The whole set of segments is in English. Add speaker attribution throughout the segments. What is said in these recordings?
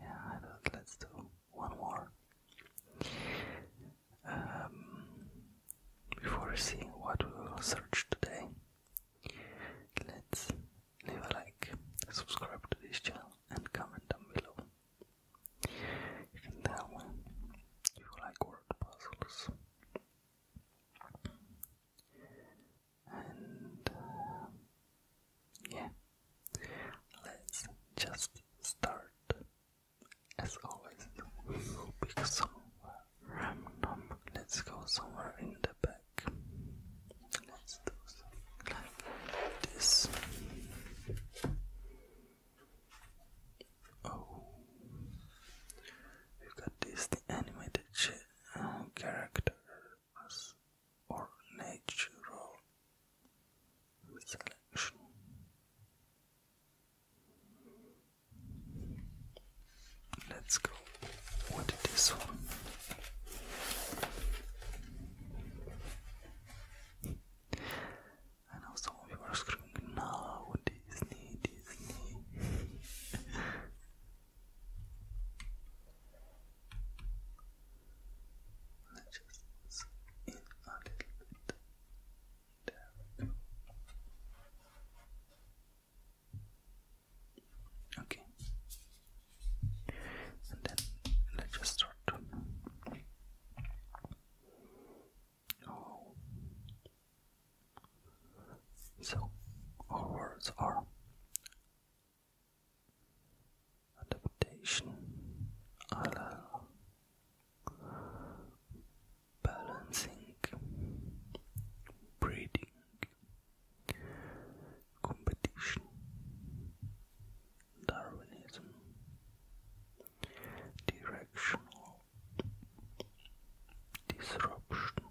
Speaker 1: yeah, let's do one more. Um, before seeing what we will search today, let's leave a like, subscribe to this channel, and comment down below. You can you like word puzzles. And uh, yeah. Let's just start as always. We'll pick somewhere random. Let's go somewhere in the back. Let's do this. Oh, we got this the animated uh, character as or natural selection. Let's go with this one. I know some of you are screaming now, Disney, Disney. Let's just in a little bit. There Okay. And then let's just start. Oh. So, our words are adaptation allow balancing breeding competition Darwinism directional disruption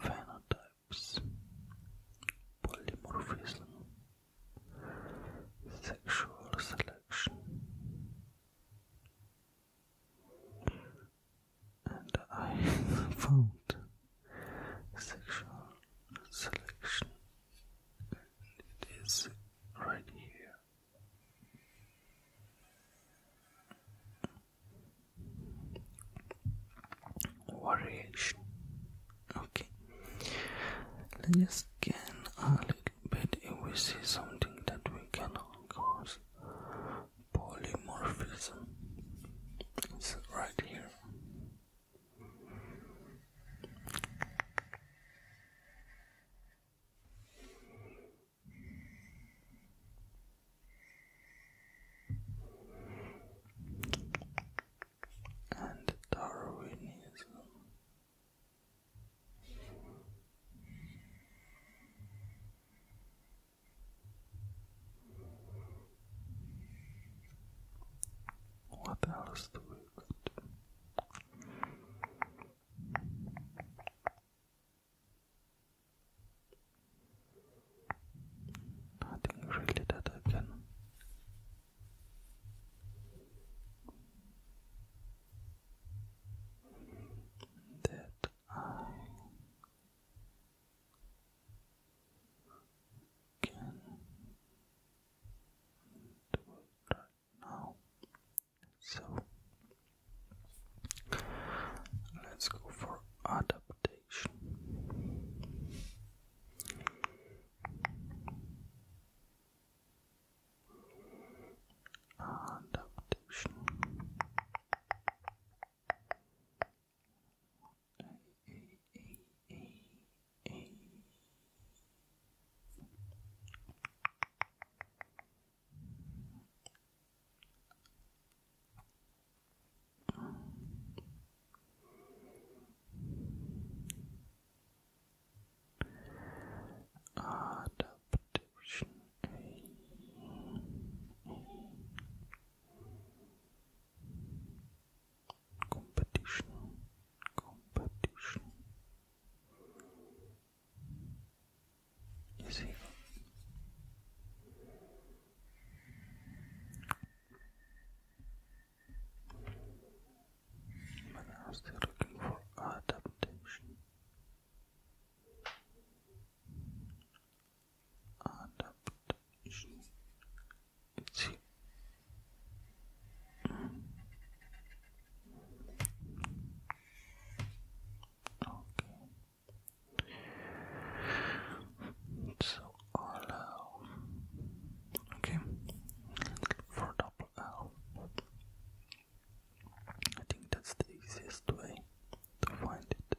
Speaker 1: phenotypes, polymorphism, sexual selection, and I found sexual selection, it is right here variation okay let's just scan a little bit if we see something that we cannot cause polymorphism it's right here and Darwinism. What else do we got? Nothing really that I can. That I can do right now. So let's go for adaptation. Adaptation. Adaptation A. Competition, competition, is evil. I'm still looking for adaptation. Adaptation. It's here. Mm. Okay. So L. Okay, for double L. I think that's the easiest way to find it.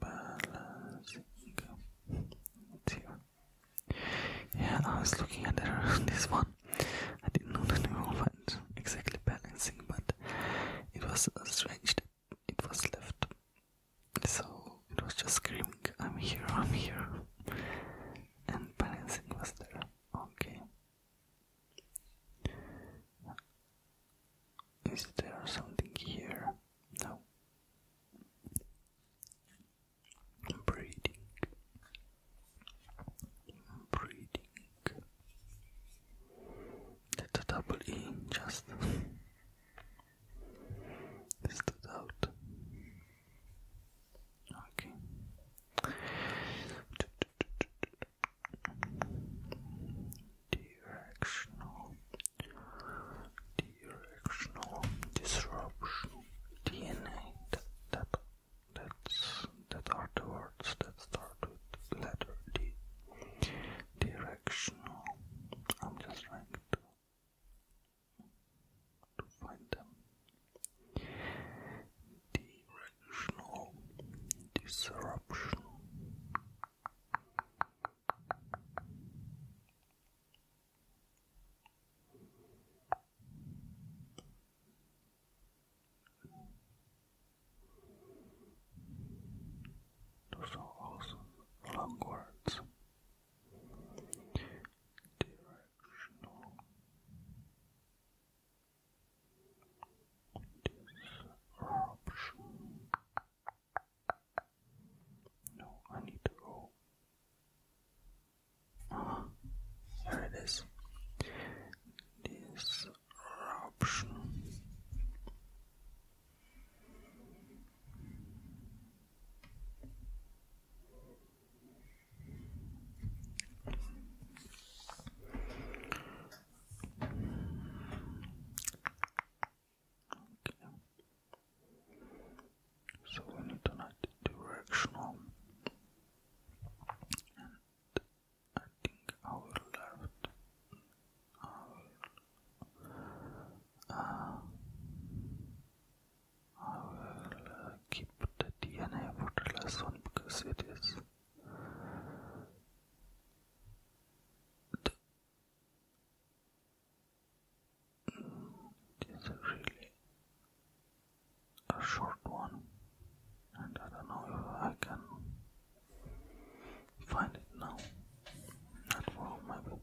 Speaker 1: Balancing. Yeah, I was looking at this one. I didn't know that we were exactly balancing, but it was strange that it was left. So it was just screaming, I'm here, I'm here. And balancing was there. Okay. Is there something here? No. Breathing. Breathing. That's a double E, just stood out. Okay. Directional, directional disruption, DNA. That, that, that's that are the words that start with letter D. Directional. I'm just trying to to find them. Directional disruption. Those are also long words. Directional Disruption. No, I need to go. Ah, there it is. Okay. So we need an directional, and I think our left, our, uh, keep the DNA for last one because it is it's really a short one and I don't know if I can find it now. Not for maybe.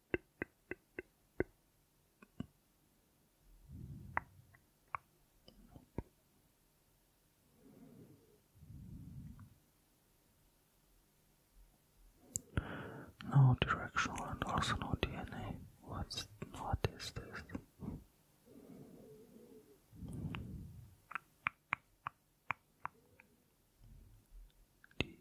Speaker 1: No directional and also no DNA. What's what is this? D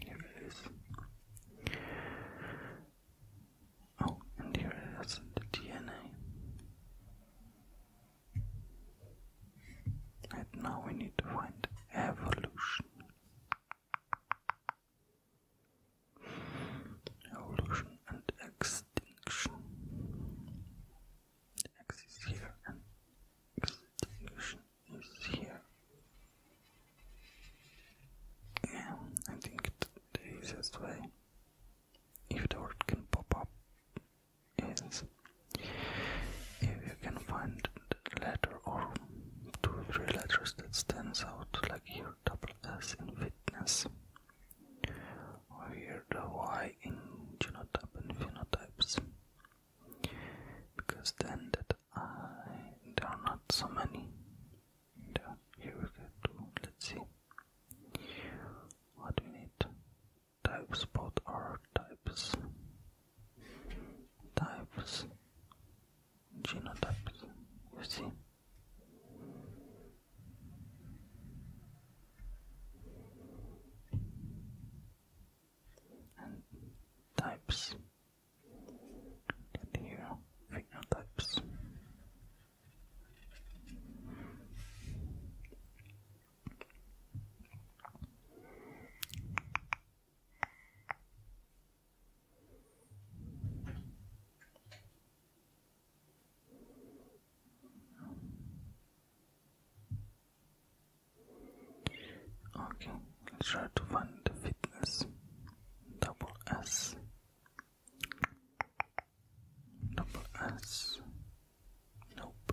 Speaker 1: here it is. Oh, and here the DNA. And now we need to find evolution. Evolution and extinction. The is here and extinction is here. Yeah, I think the easiest way. If the word can pop up is if you can find it letter or two or three letters that stands out like here double S in fitness or here the Y in genotypes and phenotypes because then that I there are not so many here we get to let's see what we need types both are types types, genotypes, you see. And types get here phenotypes. Okay, let's try to find the fitness double S double S nope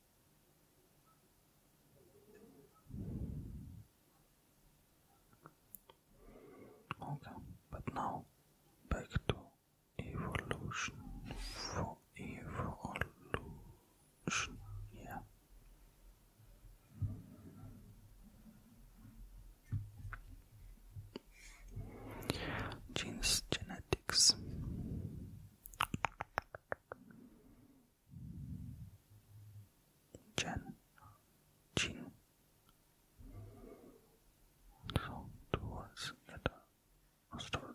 Speaker 1: Okay, but now back to evolution for evolution, yeah. Genes genetics Chen, Qin. So two that are started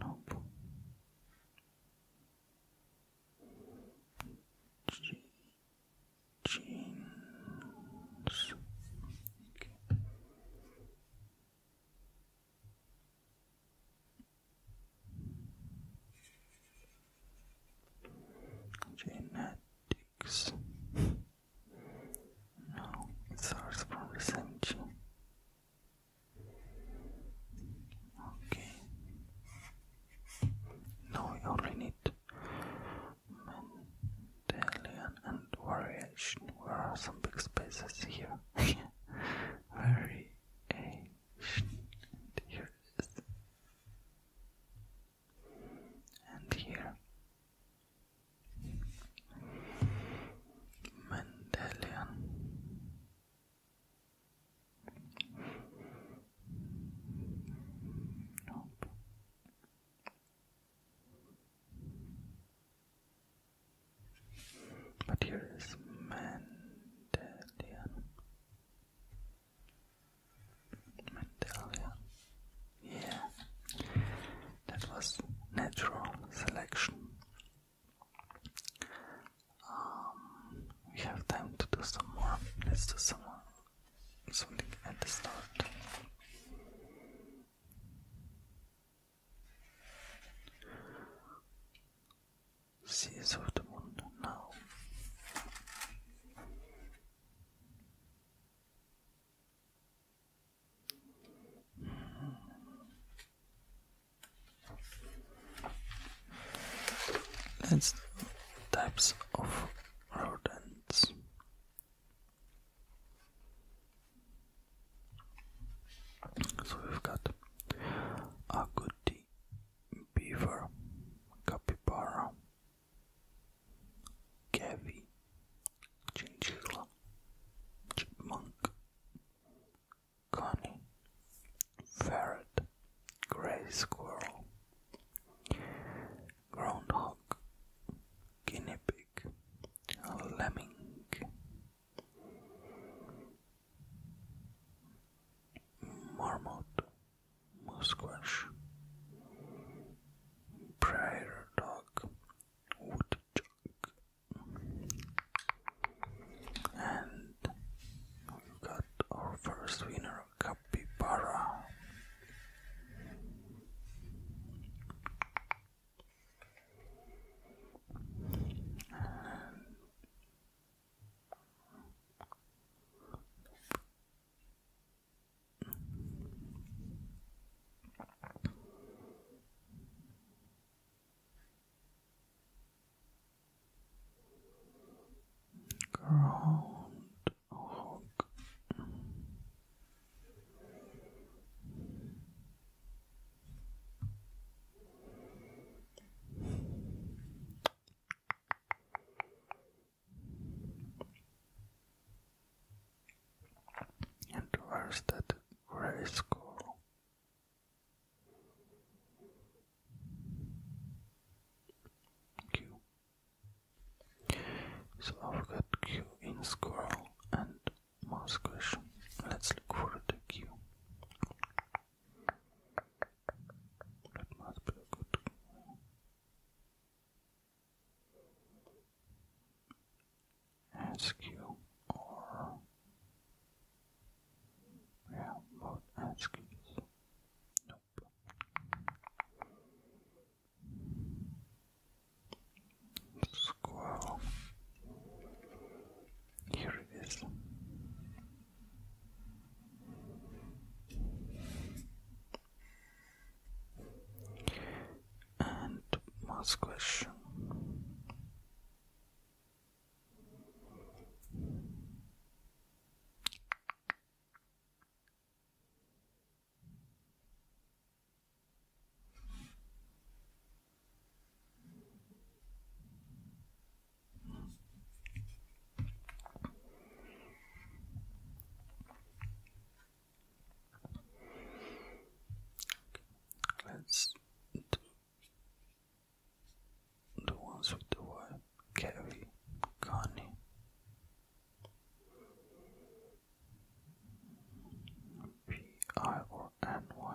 Speaker 1: Nope. Je jeans. Okay. Dicks. No, it starts from the same Okay. Now we only need Mendelian variation. Where are some big spaces here? Very Here it is and here. Mendelian. Nope. But here is Mendelian. Medallion. Yeah, that was natural selection. Um, we have time to do some more. Let's do some more. Something at the start. Seas of the moon now let That's types of rodents. So we've got agouti, beaver, capybara, Gavi, Chinchilla, Chipmunk, Connie, Ferret, Gray Squirrel, Groundhog, Guinea Pig, Lemming, Marmot, musquash, prairie dog, woodchuck, and we got our first winner, capybara. Ground hog. And where's that gray skull? Q. So I've got Q in squirrel and mouse question. Let's look for the Q. That must be a good ask or yeah, both ask Nope. Squirrel. Here it is. And last question. Let's do the ones with the word Kerry, Connie. P I or N Y.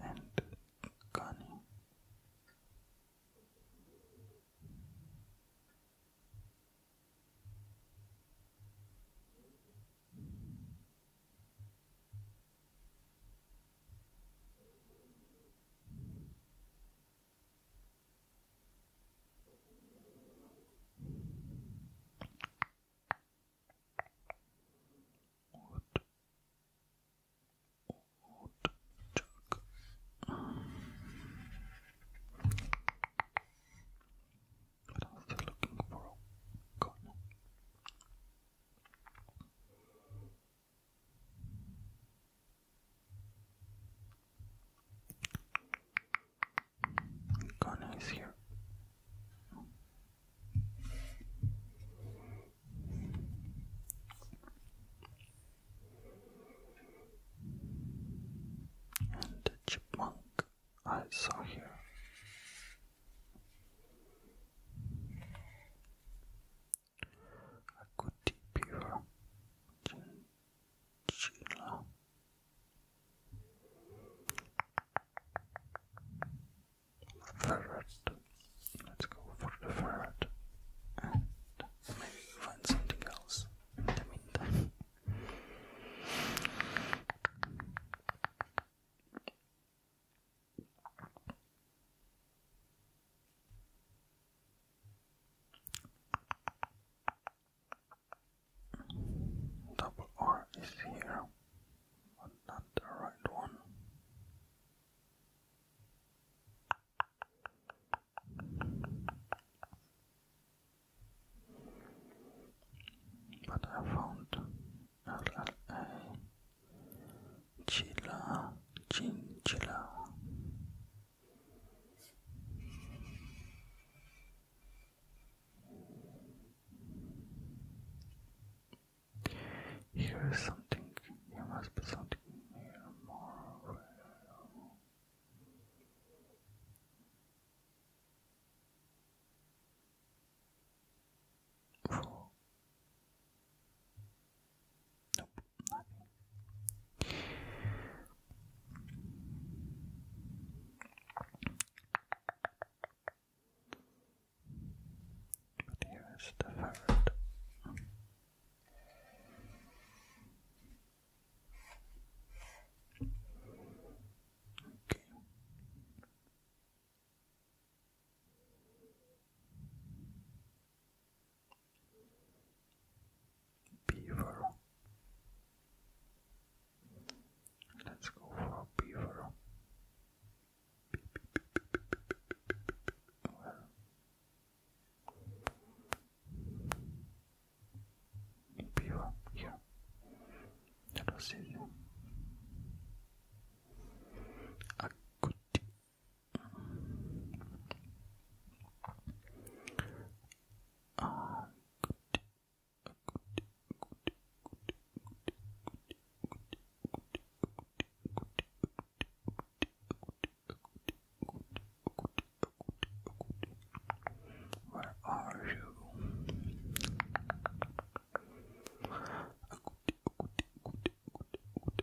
Speaker 1: and cunning. What? What? Chuck. looking for? God. Ghana is here. And the chipmunk I saw here. A good pure chinchilla ferret. Let's go for the ferret. maybe we find something else in the meantime. Double R is here but not the right one. But I found LLA Chilla Chinchilla. Here is something. Here must be something here here is the ferret. Okay. Beaver. Let's go for beaver. beaver here. That was easy. A good. Ah, good. Akote, akote, akote... Where are you? Akote, akote, akote...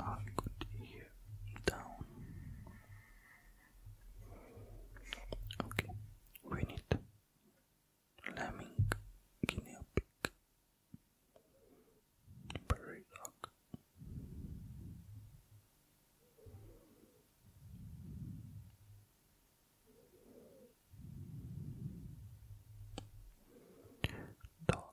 Speaker 1: I could hear down. Okay, we need lemming guinea pig, prairie dog. Dog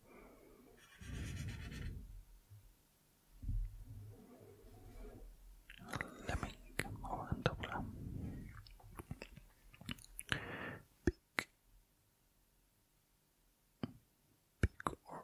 Speaker 1: Lemming or Andobla. Big. Big or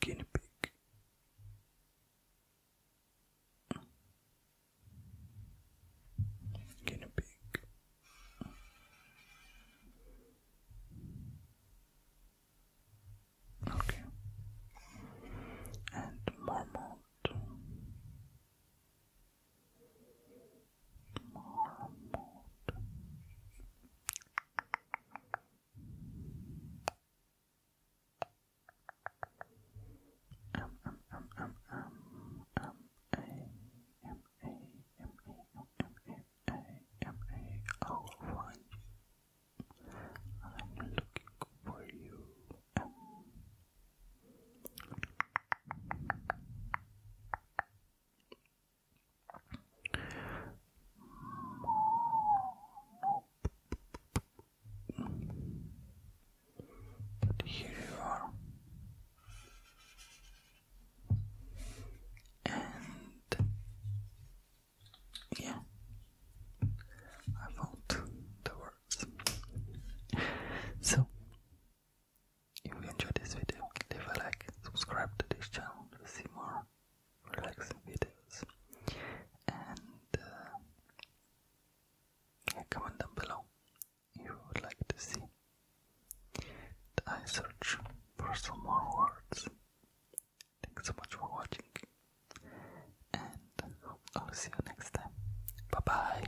Speaker 1: Guinea pig. Guinea pig. Okay. And marmot. Marmot. M M M M M M A M A M A M A M A. I'll find you. looking for you. But here you are, and yeah, I found the words. So, if you enjoyed this video, leave a like, subscribe to this channel, see more relaxing videos and uh, comment down below if you would like to see. And I search for some more words. Thanks so much for watching and I'll see you next time. Bye bye.